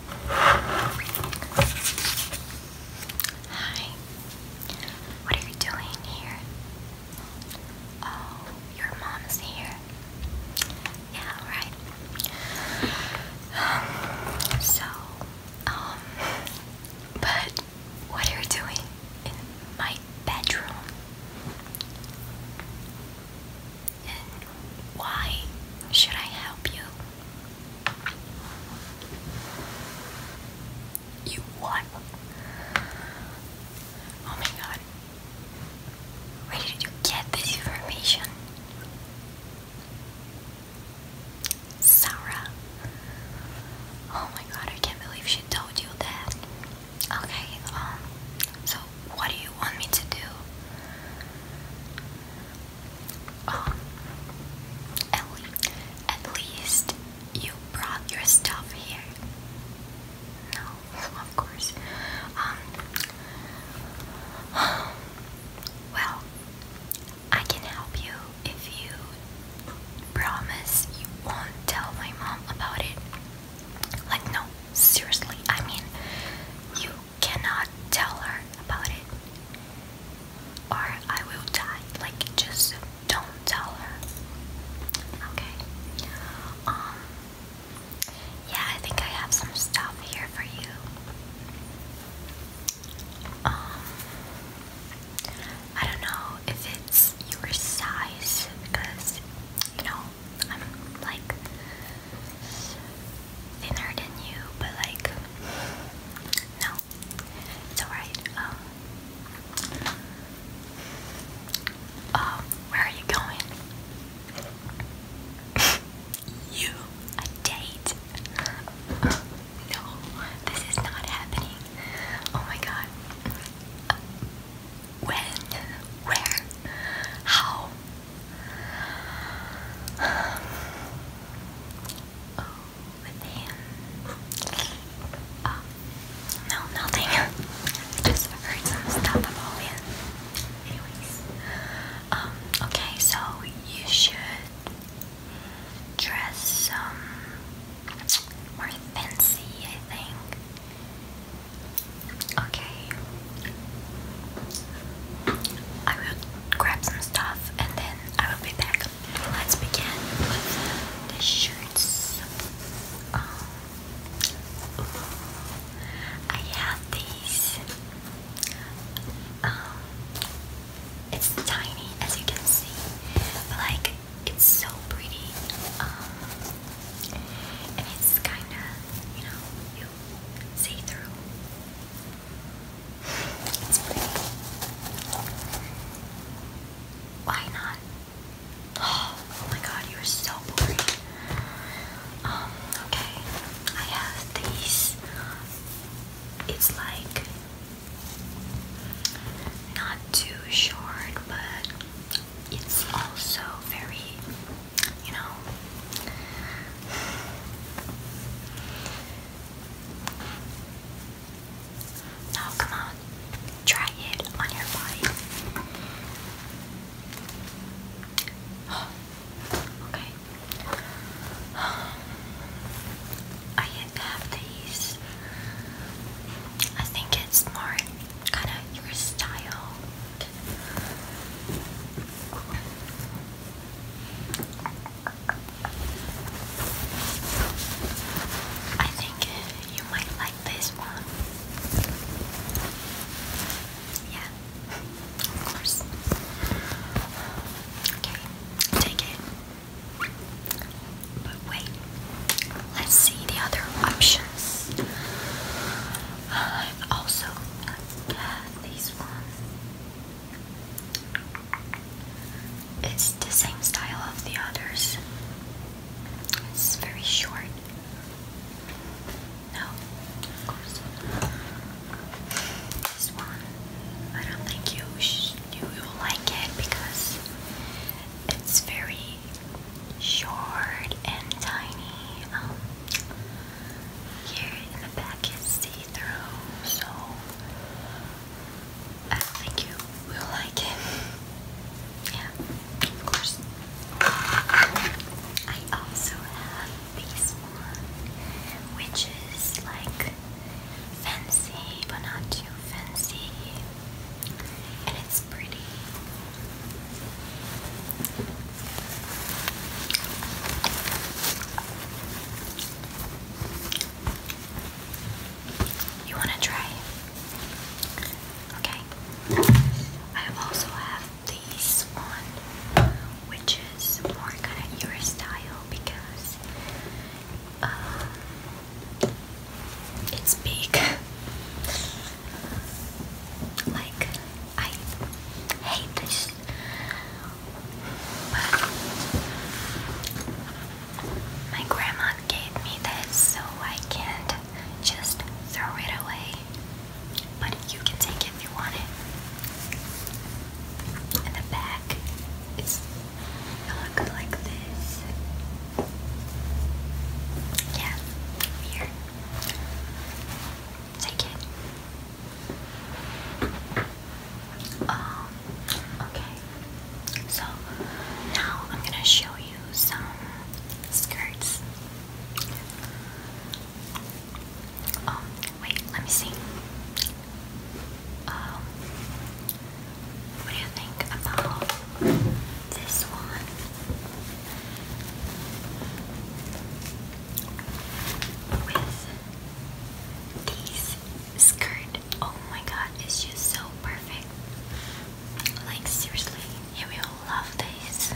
Hi. What are you doing here? Oh, your mom's here. Yeah, right. Um, so, um, but what are you doing in my bedroom? why should I help you? You what? Oh my god. Where did get this information? Sarah. Oh my god, I can't believe she told you that. Okay, um, so what do you want me to do? Um, at least you brought your stuff here. No, of course. Um, well, I can help you if you promise you won't tell my mom about it. Like, no, seriously, I mean, you cannot tell her about it. Or I will die. Like, just don't tell her. Okay. Um. Yeah, I think I have some stuff here for you. Um. I don't know if it's your size because, you know, I'm like thinner than you, but like, no, it's alright. Um, um where are you going? you a date? no, this is not happening. Oh my god. When? Where? How? Oh, with him. no, nothing. Just heard some stuff about him. Anyways, um, okay, so you should dress um more fancy, I think. Okay. I will grab some stuff and then I will be back. Let's begin the shirts. Um, I have these. Um, it's tiny as you can see, but like it's so pretty. Um, and it's kind of, you know, see through. It's pretty. Why not? Oh, my god, you're so boring. Um, okay. I have these. It's like not too short, but it's also very you know. come on, try it on your body. okay. I have these. I think it's more kind of your style I think you might like this one. Yeah, of course. Okay, take it. But wait, let's see the other options. Uh, also, uh, these one. It's the same style of the others. It's very short. No, of course. This one, I don't think you you will like it because it's very short and tiny. Um, here in the back is see-through, so I think you will like it. Yeah, of course. I also have this one, which is like fancy, but not too fancy, and it's pretty. You want to try? Okay. I also have this one, which is more kind of your style because um, it's big. like I hate this but my grandma gave me this, so I can't just throw it away. But you can take it if you want it. In the back, it's looks like this. Yeah, here. Take it. Um, okay. So now I'm gonna show you some skirts. Um, wait, let me see. Um, what do you think about this one? with this skirt. Oh my god, it's just so perfect. Like seriously, you will love this.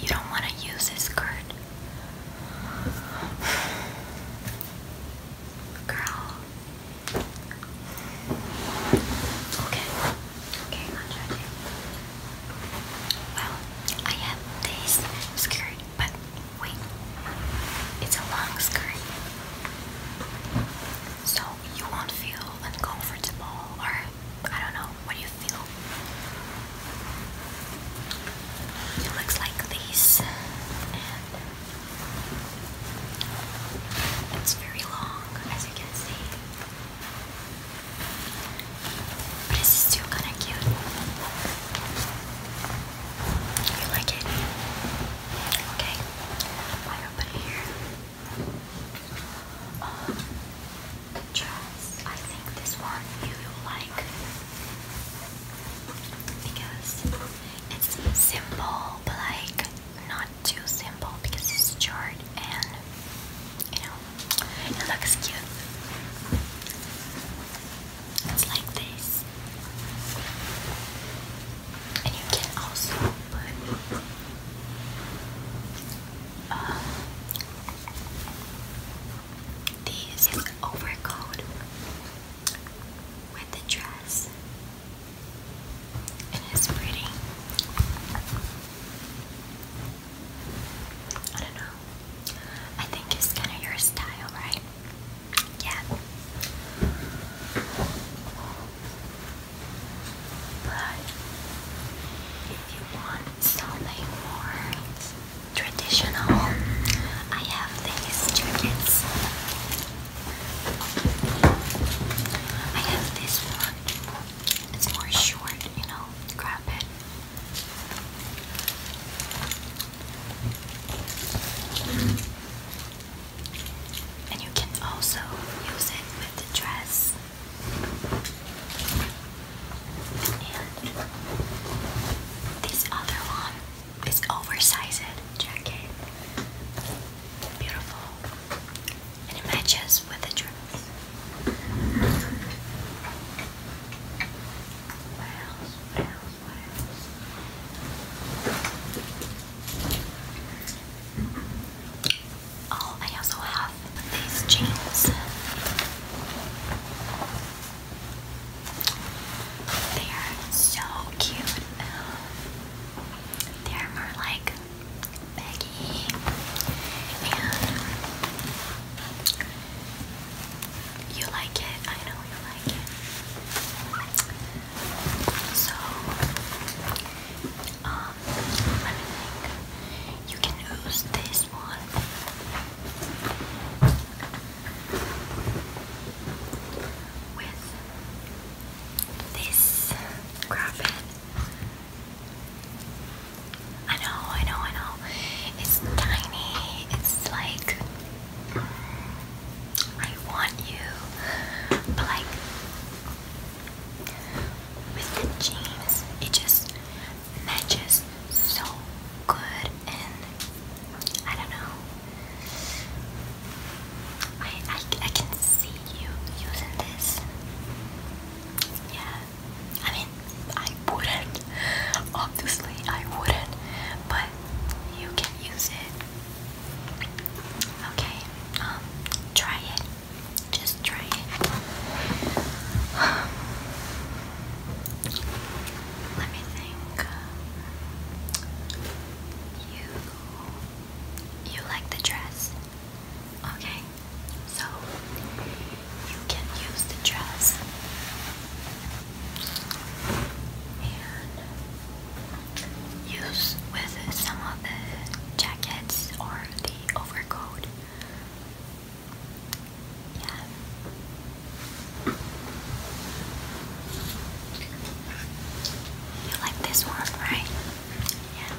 You don't want to use this skirt. Girl, Okay. Okay, Well, I have this skirt, but wait. It's a long skirt. So you won't feel uncomfortable or I don't know what do you feel. It looks like this it's very long, as you can see. But it's still kinda cute. You like it? Okay. I open it here. Um, dress. I think this one you will like because it's simple, but like not too simple because it's short and you know it looks cute. It's like this, and you can also put um, this overcoat with the dress. It is pretty. I don't know. I think it's kind of your style, right? Yeah. But if you want something more traditional, I have these jackets. I have this one. It's more short, you know. Grab it. And you can also use it with the dress. And this other one this oversized jacket. Beautiful. And it matches with the dress. Oh, I also have these jeans. They are so cute. They're more like baggy you like it. I know you like it. So, um, let me think. You can use this one. With this crappie. I know, I know, I know. It's tiny. It's like mm, I want you, but like with the jeans, it just matches so good, and I don't know. I, I, I can see you using this. Yeah. I mean, I wouldn't. Obviously, I wouldn't. But you can use it. Okay. Um, try it. Just try it. Let me think. You you like the dress? Okay, so you can use the dress and use with some of the jackets or the overcoat. Yeah. You like this one, right? Yeah.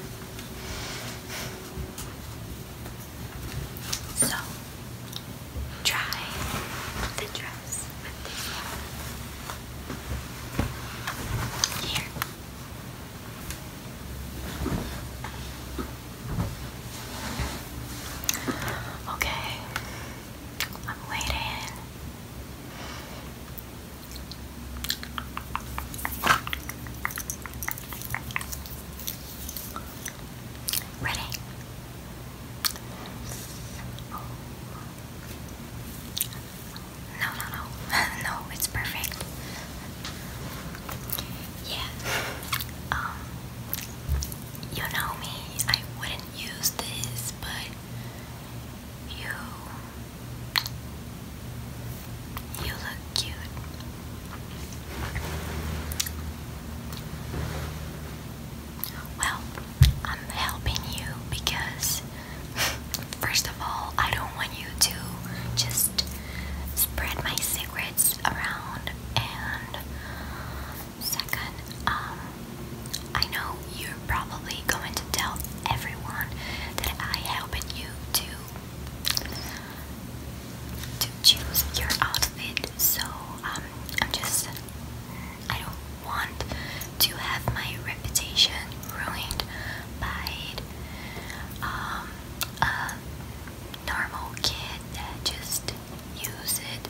So, try the dress with this one. Here. Okay, I'm waiting. Ready? No, no, no. no, it's perfect. Yeah. Um you know me, I wouldn't use this, but you You look cute. Well, I'm helping you because first of all, I don't want you to just spread my secrets around and second, um I know you're probably going to tell everyone that I helped you to to choose your outfit, so um, I'm just I don't want to have my reputation ruined by um, a normal kid that just uses it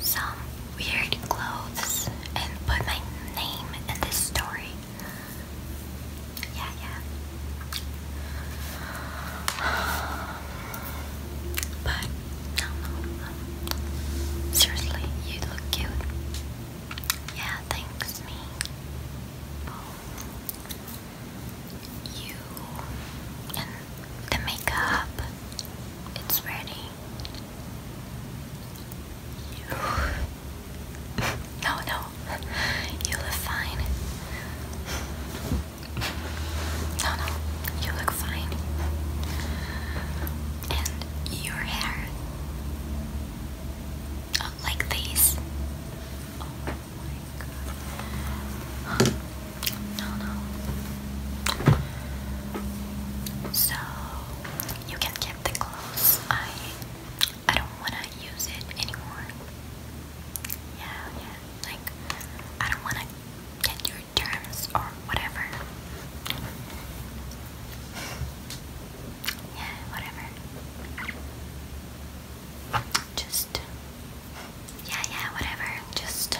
some weird clothes and put my name in this story. Yeah, yeah. But no, no, no. Seriously, you look cute. Yeah, thanks, me. You the makeup, it's ready. No, no. You look fine. No, no. You look fine. And your hair. Oh, like this. Oh my god. No, no. So, you can keep the clothes. I I don't wanna use it anymore. Yeah, yeah. Like I don't wanna get your terms or whatever. Yeah, whatever. Just yeah, yeah, whatever. Just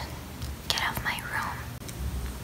get off my room.